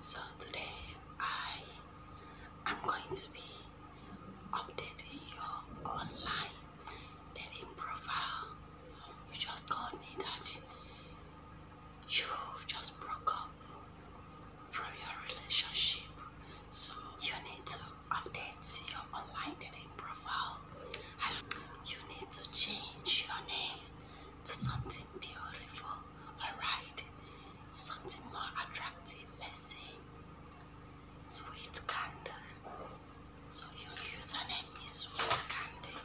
So today I am going to be updating your online dating profile. You just called me that you've just broke up from your relationship. So you need to update your online dating profile. I don't You need to change your name to something beautiful, alright? Something more attractive, let's say sweet candy. So you your username is sweet candy.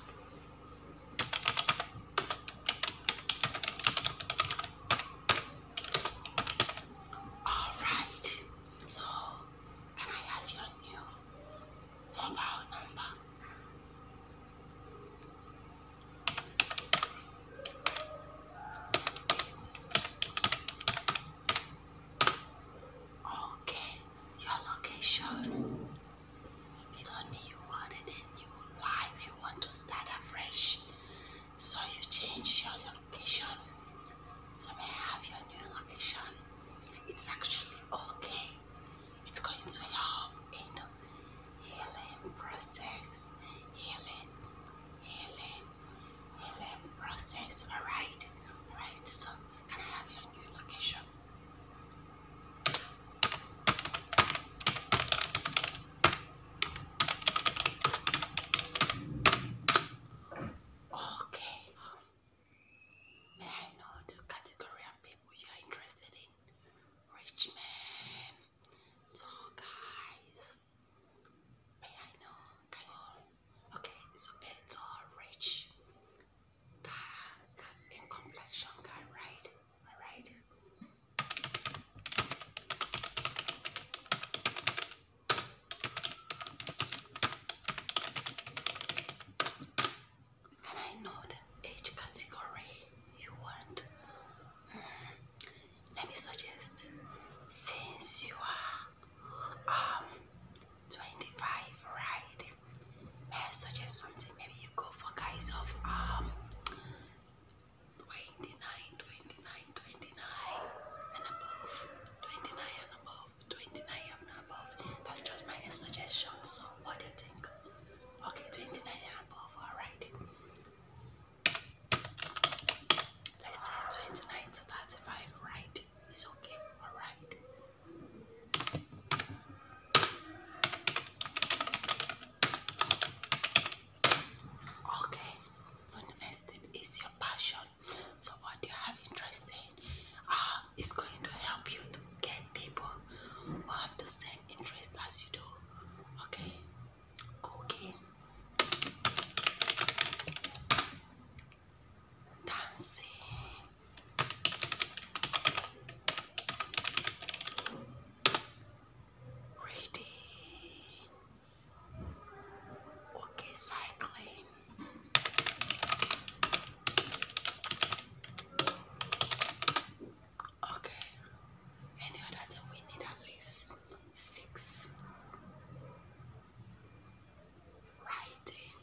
All right. So, can I have your new mobile number? Okay, your location. You me you wanted a new life. You want to start afresh. So you change your location. So may I have your new location? It's actually okay. It's going to help in the healing process. Healing, healing, healing process. Alright, alright. So can I have your new location? Okay. May I know the category of people you are interested in? Rich man, tall guys. May I know? Okay, so a tall, rich, dark complexion guy, right? All right. And I know the age category you want. Hmm. Let me suggest since you are um 25, right? okay may I something maybe you go for guys of um 29 and above 29 and above 29 and above that's just my suggestion so what do you think okay 29 and above all right let's say 29 to 35 right it's okay all right Okay, the is your passion. So, what you have interest in ah, is going to help you to get people who have the same interest as you do. Okay, cooking, dancing. Reading. Okay, cycling. Okay, any other thing we need at least six writing.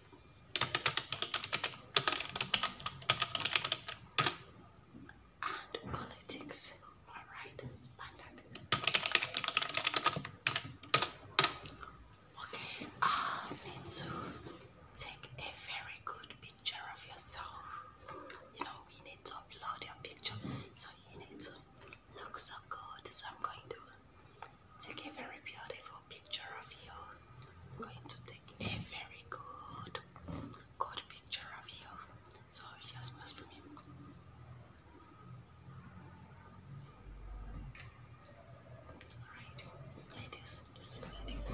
And politics. Alright, standard. Okay, I need to take a very good picture of yourself. You know, we need to upload your picture. So you need to looks so good. So I'm going to take a very beautiful picture of you. I'm going to take a very good, good picture of you. So just must for me. Alright, like this. Just like this.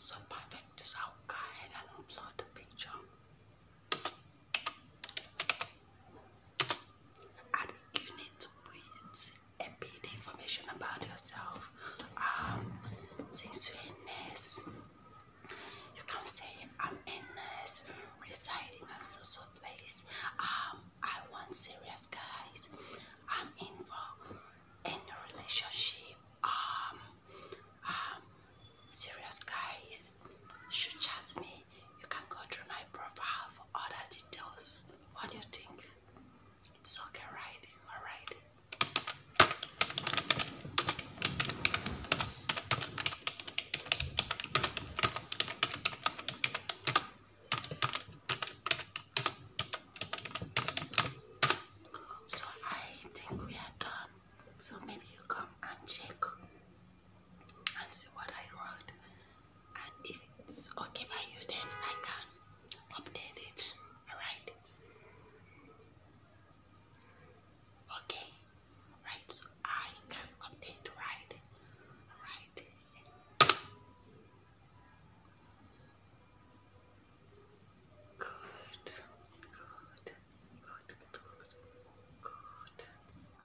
So perfect is go ahead and upload the picture. And you need to wait a bit information about yourself. Um, since we are a nurse, you can say, I'm a nurse residing in a social place. Um, I want serious guys. I'm in for any relationship. Um, um, serious guys should chat me. You can go through my profile for other details. What do you think? It's okay, right? All right. So I think we are done. So maybe you come and check and see what I wrote and if it's okay by you then I can update it alright okay right so I can update right right good good good good good,